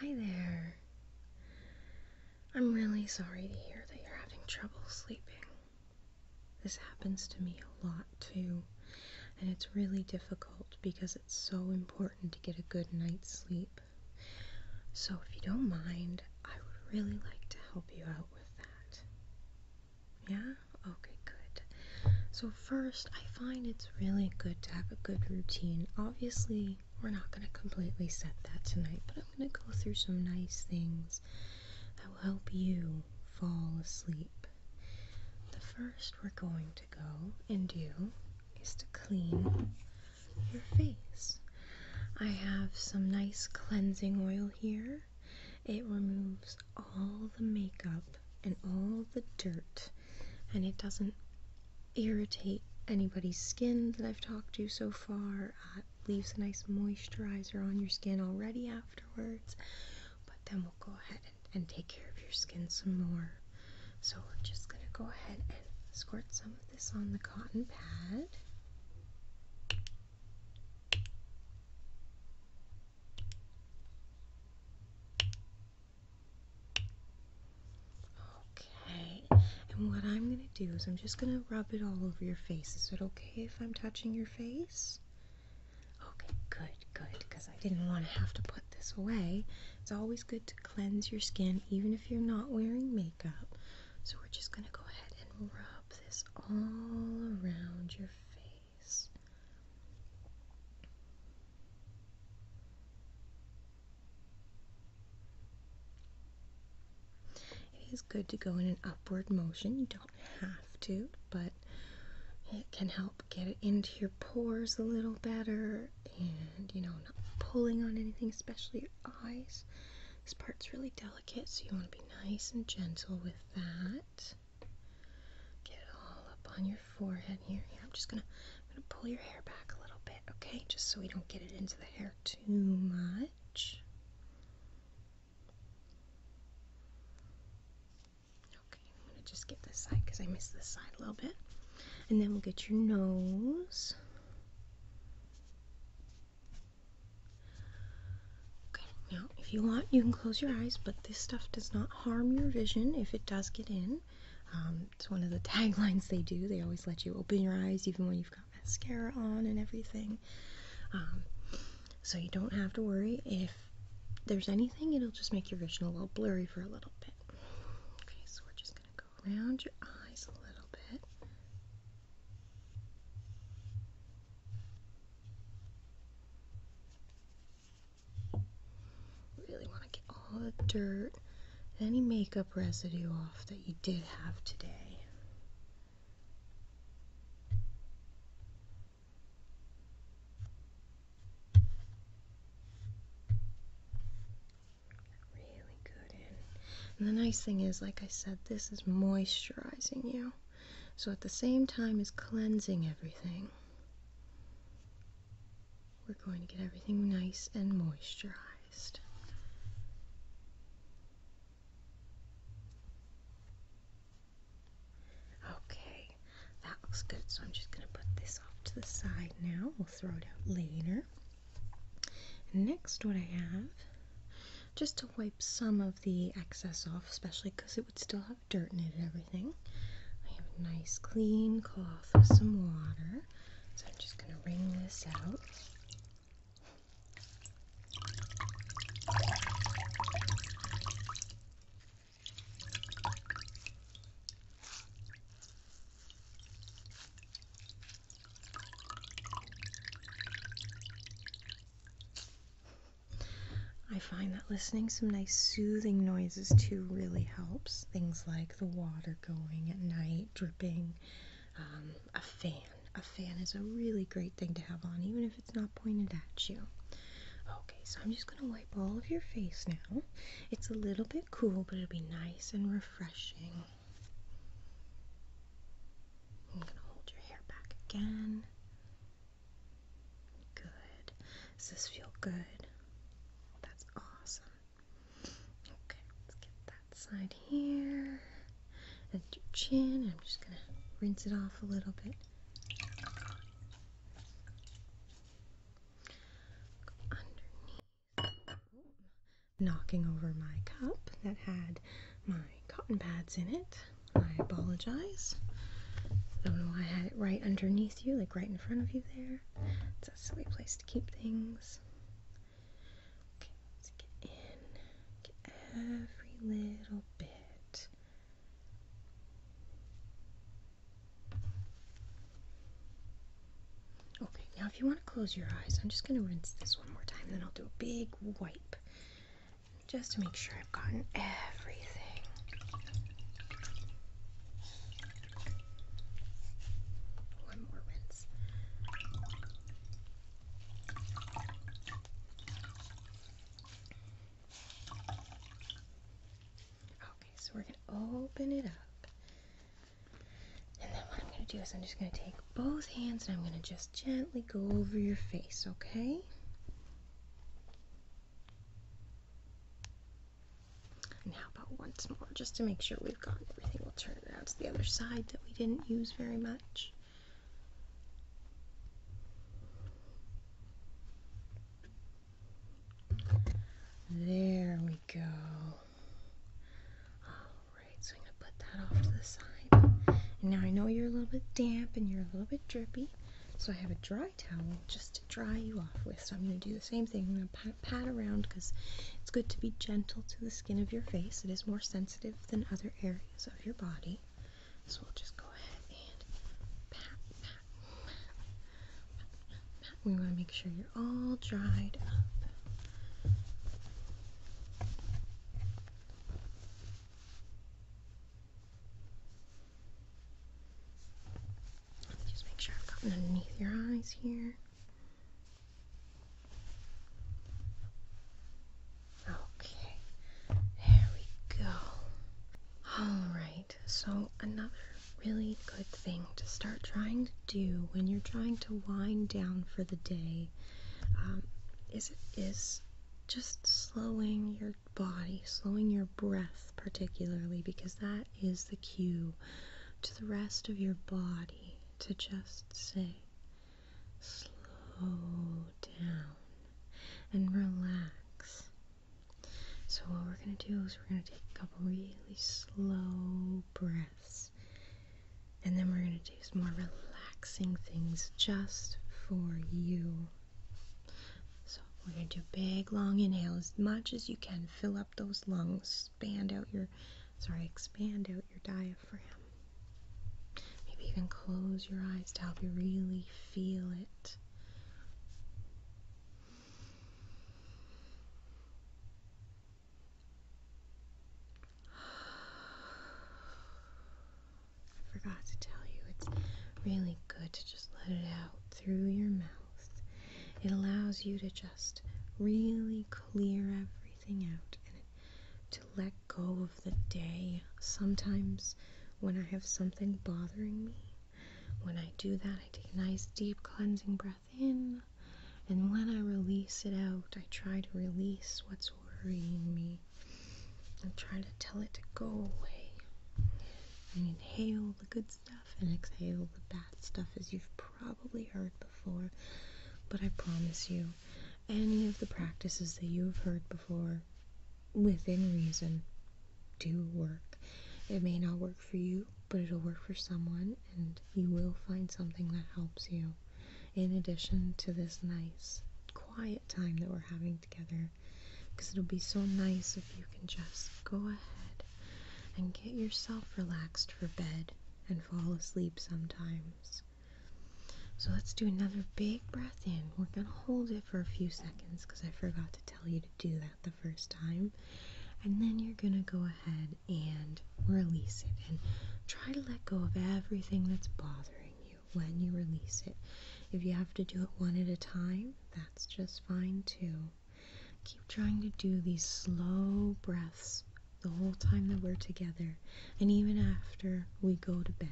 Hi there. I'm really sorry to hear that you're having trouble sleeping. This happens to me a lot too, and it's really difficult because it's so important to get a good night's sleep. So, if you don't mind, I would really like to help you out with that. Yeah? Okay, good. So, first, I find it's really good to have a good routine. Obviously, we're not going to completely set that tonight, but I'm going to go through some nice things that will help you fall asleep. The first we're going to go and do is to clean your face. I have some nice cleansing oil here. It removes all the makeup and all the dirt and it doesn't irritate anybody's skin that I've talked to so far. Uh, leaves a nice moisturizer on your skin already afterwards, but then we'll go ahead and take care of your skin some more. So we're just going to go ahead and squirt some of this on the cotton pad. Okay, and what I'm gonna do is I'm just gonna rub it all over your face. Is it okay if I'm touching your face? Okay, good, good, because I didn't want to have to put this away. It's always good to cleanse your skin, even if you're not wearing makeup. So we're just gonna go ahead and rub this all around your face. It is good to go in an upward motion. You don't have to, but it can help get it into your pores a little better and you know, not pulling on anything, especially your eyes. This part's really delicate, so you want to be nice and gentle with that. Get it all up on your forehead here. I'm just gonna, I'm gonna pull your hair back a little bit, okay? Just so we don't get it into the hair too much. Okay, I'm gonna just get this side because I missed this side a little bit. And then we'll get your nose. Okay, now if you want, you can close your eyes, but this stuff does not harm your vision if it does get in. Um, it's one of the taglines they do. They always let you open your eyes even when you've got mascara on and everything. Um, so you don't have to worry if there's anything, it'll just make your vision a little blurry for a little bit. Okay, so we're just going to go around your eyes a little bit. Really want to get all the dirt any makeup residue off that you did have today. Really good in. And the nice thing is, like I said, this is moisturizing you. So at the same time is cleansing everything. We're going to get everything nice and moisturized. Okay, that looks good. So I'm just going to put this off to the side now. We'll throw it out later. And next, what I have, just to wipe some of the excess off, especially because it would still have dirt and everything. I have a nice clean cloth with some water. So I'm just going to wring this out. I find that listening some nice soothing noises too really helps. Things like the water going at night, dripping, um, a fan. A fan is a really great thing to have on, even if it's not pointed at you. Okay, so I'm just gonna wipe all of your face now. It's a little bit cool, but it'll be nice and refreshing. I'm gonna hold your hair back again. Good. Does this feel good? That's awesome. Okay, let's get that side here. And your chin. I'm just gonna rinse it off a little bit. Knocking over my cup that had my cotton pads in it. I apologize. I had it right underneath you, like right in front of you there. It's a silly place to keep things. Okay, let's get in. Get every little bit. Okay, now if you want to close your eyes, I'm just going to rinse this one more time, then I'll do a big wipe just to make sure I've gotten everything. One more rinse. Okay, so we're going to open it up. And then what I'm going to do is I'm just going to take both hands and I'm going to just gently go over your face, okay? And how about once more, just to make sure we've gotten everything? We'll turn it around to the other side that we didn't use very much. There we go. Alright, so I'm going to put that off to the side. now I know you're a little bit damp and you're a little bit drippy, so I have a dry towel just to dry you off with. So I'm going to do the same thing. I'm going to pat, around because it's good to be gentle to the skin of your face. It is more sensitive than other areas of your body. So we'll just go ahead and pat, pat, pat. We want to make sure you're all dried up. Just make sure I've gotten underneath your eyes here. Okay, there we go. Alright, so another really good thing to start trying to do when you're trying to wind down for the day um, is, is just slowing your body, slowing your breath, particularly, because that is the cue to the rest of your body to just say, slow down and relax. So, what we're going to do is we're going to take a couple really slow breaths and then we're going to do some more relaxing things just for you. So we're going to do big long inhale as much as you can. Fill up those lungs. Expand out your, sorry, expand out your diaphragm. Maybe even close your eyes to help you really feel it. I forgot to tell you, it's really good to just let it out through your mouth. It allows you to just really clear everything out and to let go of the day. Sometimes when I have something bothering me, when I do that, I take a nice deep cleansing breath in. And when I release it out, I try to release what's worrying me I'm trying to tell it to go away. And inhale the good stuff and exhale the bad stuff, as you've probably heard before. But I promise you, any of the practices that you have heard before, within reason, do work. It may not work for you, but it'll work for someone, and you will find something that helps you. In addition to this nice, quiet time that we're having together because it'll be so nice if you can just go ahead and get yourself relaxed for bed and fall asleep sometimes. So let's do another big breath in. We're going to hold it for a few seconds because I forgot to tell you to do that the first time. And then you're going to go ahead and release it and try to let go of everything that's bothering you when you release it. If you have to do it one at a time, that's just fine too. Keep trying to do these slow breaths the whole time that we're together and even after we go to bed.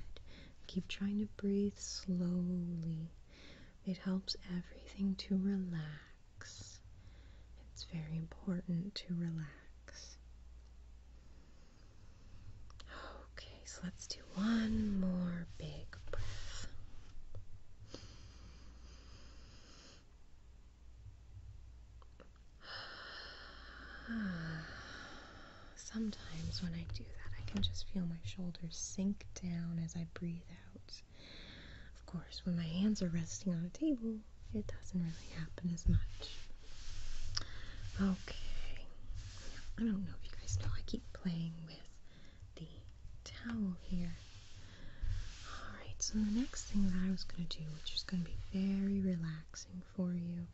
Keep trying to breathe slowly. It helps everything to relax. It's very important to relax. Okay, so let's do one more big breath. Sometimes when I do that, I can just feel my shoulders sink down as I breathe out. Of course, when my hands are resting on a table, it doesn't really happen as much. Okay. I don't know if you guys know, I keep playing with the towel here. Alright, so the next thing that I was going to do, which is going to be very relaxing for you,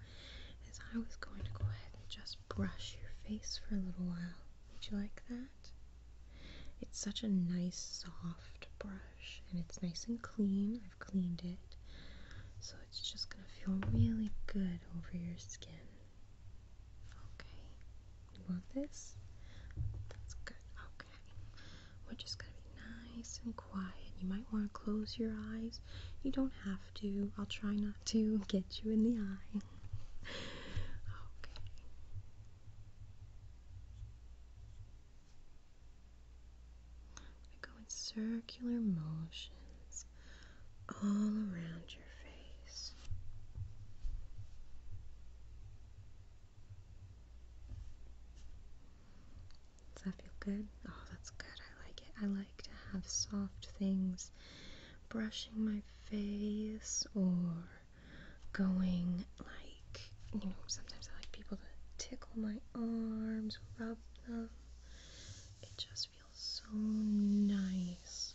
is I was going to go ahead and just brush your face for a little while. Would you like that? It's such a nice soft brush and it's nice and clean. I've cleaned it. So it's just gonna feel really good over your skin. Okay, you want this? That's good. Okay, we're just gonna be nice and quiet. You might want to close your eyes. You don't have to. I'll try not to get you in the eye. okay. I go in circular motions all around your face. Does that feel good? Oh, that's good. I like it. I like to have soft things brushing my face or going like, you know, sometimes I like people to tickle my arms, rub them. It just feels so nice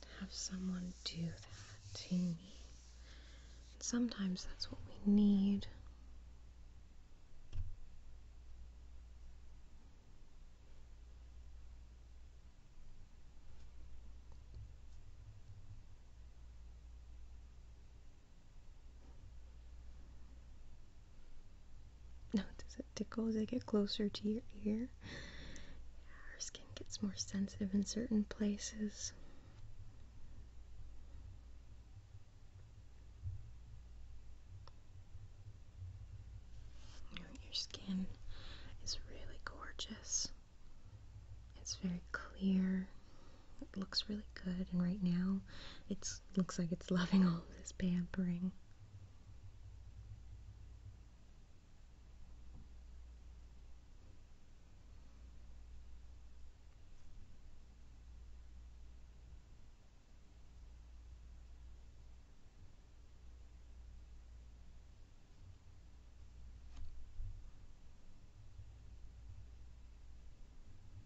to have someone do that to me. sometimes that's what we need. No, does it tickle as I get closer to your ear? our skin gets more sensitive in certain places. You your skin is really gorgeous. It's very clear. It looks really good, and right now it looks like it's loving all this pampering.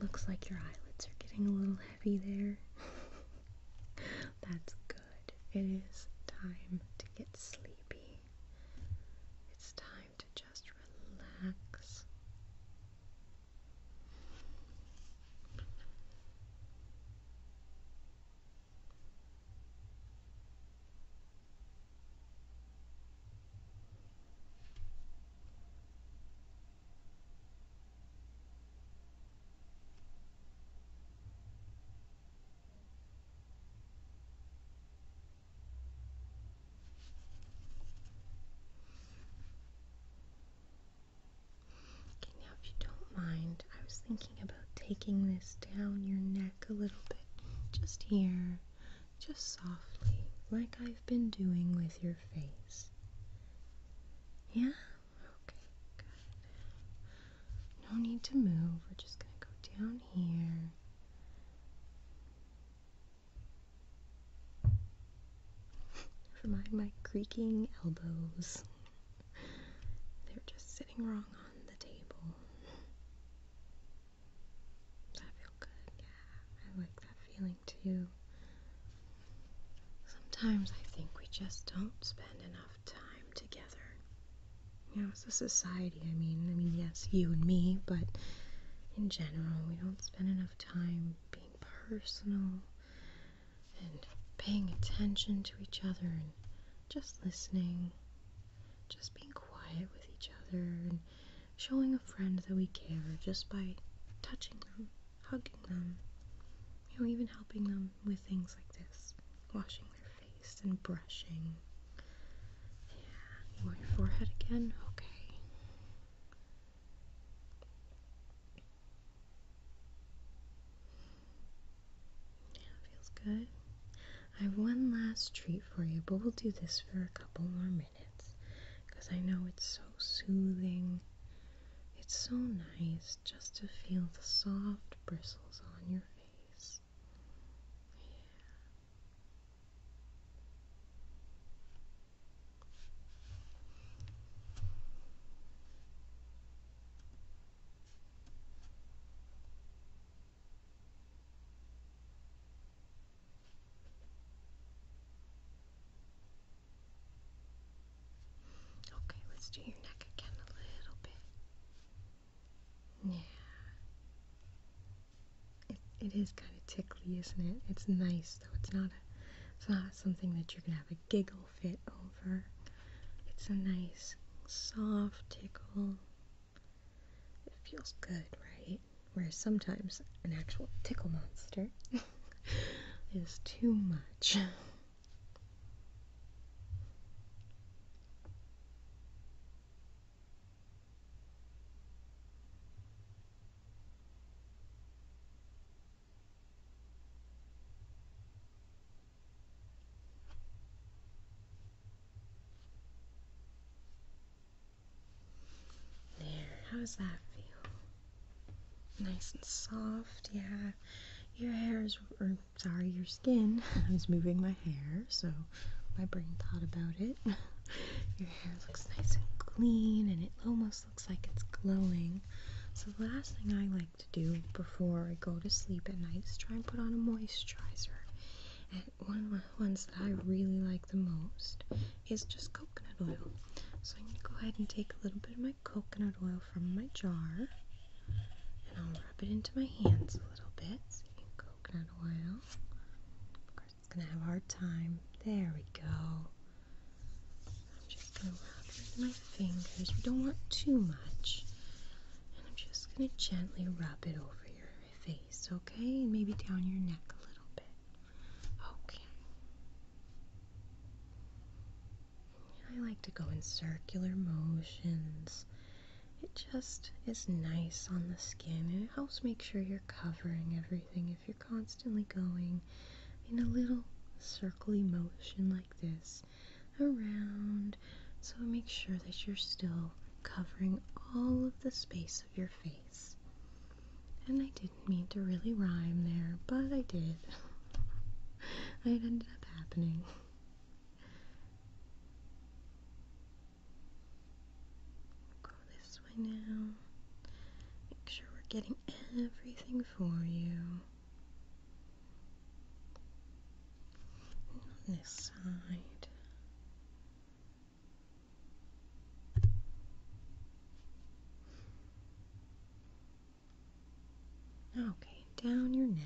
Looks like your eyelids are getting a little heavy there. That's good. It is time to get sleepy. It's time to just relax. Okay, now if you don't mind, I was thinking about taking this down your neck a little bit, just here, just softly, like I've been doing with your face. Yeah? Okay, good. No need to move, we're just gonna go down here. Never mind my creaking elbows. They're just sitting wrong on the table. that feel good? Yeah, I like that feeling too. Sometimes I think we just don't spend enough time together. You know, as a society, I mean, I mean, yes, you and me, but in general, we don't spend enough time being personal and paying attention to each other and just listening just being quiet with each other and showing a friend that we care just by touching them, hugging them, you know, even helping them with things like this, washing their face and brushing. Yeah, your forehead again? Okay. Yeah, feels good. I have one last treat for you, but we'll do this for a couple more minutes because I know it's so soothing. It's so nice just to feel the soft bristles on your face. Yeah. Okay, let's do your neck again a little bit. Yeah. it is kind of tickly, isn't it? It's nice though. It's not it's not something that you're gonna have a giggle fit over. It's a nice, soft tickle. It feels good, right? Whereas sometimes an actual tickle monster is too much. There, how does that feel? Nice and soft, yeah. Your hair is, or sorry, your skin. I was moving my hair, so my brain thought about it. Your hair looks nice and clean, and it almost looks like it's glowing. So the last thing I like to do before I go to sleep at night is try and put on a moisturizer. And one of the ones that I really like the most is just coconut oil. So I'm going to go ahead and take a little bit of my coconut oil from my jar and I'll rub it into my hands a little bit. coconut oil. Of course, it's going to have a hard time. There we go just going to rub with my fingers. We don't want too much. And I'm just going to gently rub it over your face, okay? And maybe down your neck a little bit. Okay. I like to go in circular motions. It just is nice on the skin and it helps make sure you're covering everything if you're constantly going in a little circly motion like this around. So make sure that you're still covering all of the space of your face. And I didn't mean to really rhyme there, but I did. it ended up happening. Go this way now. Make sure we're getting everything for you this side. Okay, down your neck.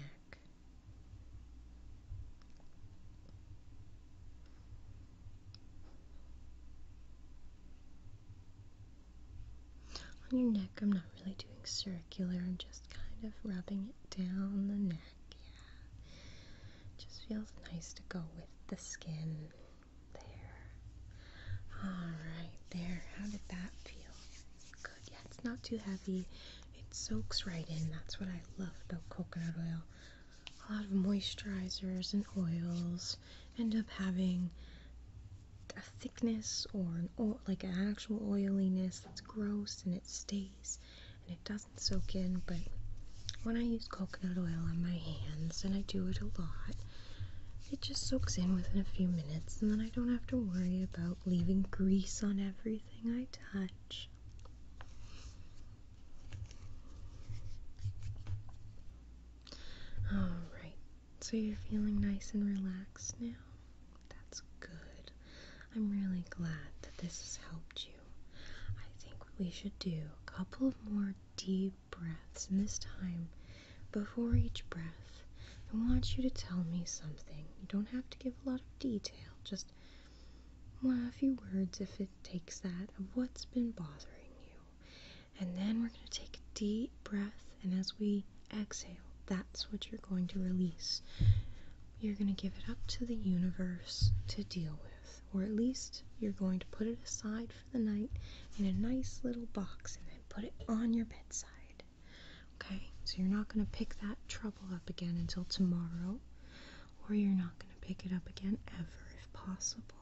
On your neck, I'm not really doing circular, I'm just kind of rubbing it down the neck. Yeah. Just feels nice to go with the skin. There. Alright, there. How did that feel? Good. Yeah, it's not too heavy. It soaks right in. That's what I love about coconut oil. A lot of moisturizers and oils end up having a thickness or an oil, like an actual oiliness that's gross and it stays and it doesn't soak in. But when I use coconut oil on my hands, and I do it a lot, it just soaks in within a few minutes, and then I don't have to worry about leaving grease on everything I touch. Alright, so you're feeling nice and relaxed now? That's good. I'm really glad that this has helped you. I think we should do a couple of more deep breaths, and this time, before each breath, I want you to tell me something. You don't have to give a lot of detail, just a few words if it takes that, of what's been bothering you. And then we're going to take a deep breath, and as we exhale, that's what you're going to release. You're going to give it up to the universe to deal with, or at least you're going to put it aside for the night in a nice little box and then put it on your bedside. Okay, so you're not going to pick that trouble up again until tomorrow, or you're not going to pick it up again ever if possible.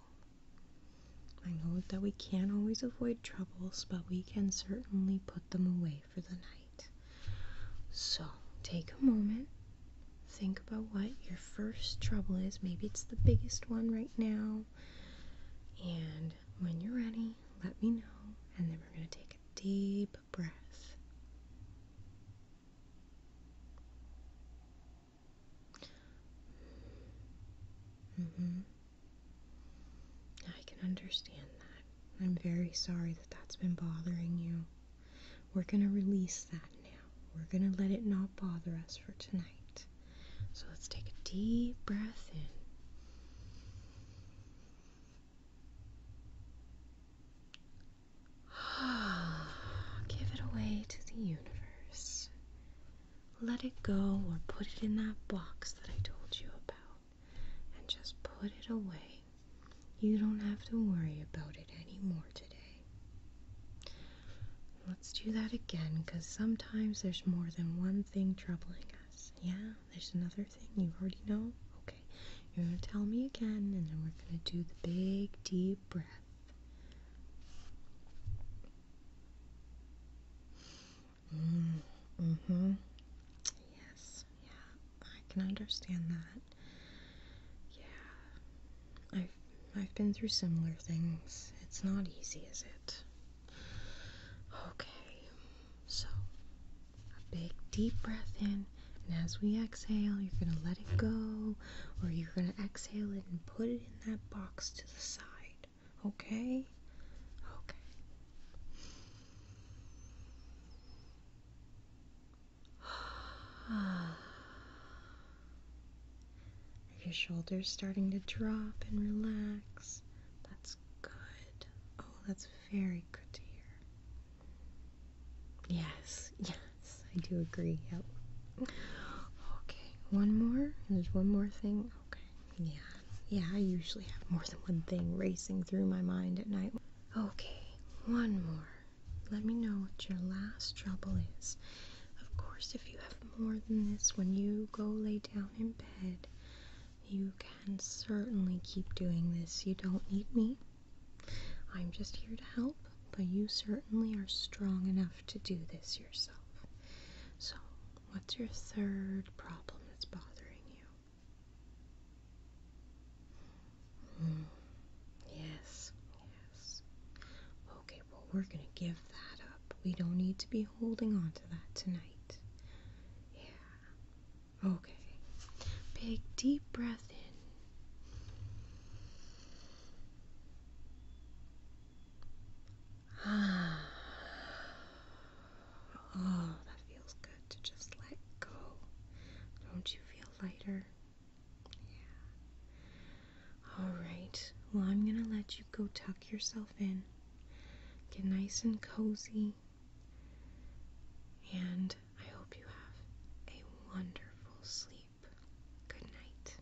I know that we can't always avoid troubles, but we can certainly put them away for the night. So take a moment, think about what your first trouble is. Maybe it's the biggest one right now. And when you're ready, let me know, and then we're going to take a deep breath. Mm-hmm. I can understand that. I'm very sorry that that's been bothering you. We're going to release that now. We're going to let it not bother us for tonight. So let's take a deep breath in. Give it away to the universe let it go or put it in that box that I told you about and just put it away. You don't have to worry about it anymore today. Let's do that again because sometimes there's more than one thing troubling us. Yeah, there's another thing you already know. Okay, you're going to tell me again and then we're going to do the big deep breath. Mm, mm hmm Yes, yeah, I can understand that. Yeah. I've I've been through similar things. It's not easy, is it? Okay. So a big deep breath in and as we exhale you're gonna let it go or you're gonna exhale it and put it in that box to the side. Okay? Okay. Are your shoulders starting to drop and relax? That's good. Oh, that's very good to hear. Yes, yes, I do agree. Yep. Okay, one more. There's one more thing. Okay. Yeah, yeah, I usually have more than one thing racing through my mind at night. Okay, one more. Let me know what your last trouble is. Of course, if you have more than this when you go lay down in bed, you can certainly keep doing this. You don't need me. I'm just here to help, but you certainly are strong enough to do this yourself. So, What's your third problem that's bothering you? Mm. Yes, yes. Okay, well, we're going to give that up. We don't need to be holding on to that tonight. Yeah. Okay. Big deep breath in. oh, that feels good to just let go. Don't you feel lighter? Yeah. All right. Well, I'm going to let you go tuck yourself in. Get nice and cozy. And I hope you have a wonderful sleep. Good night.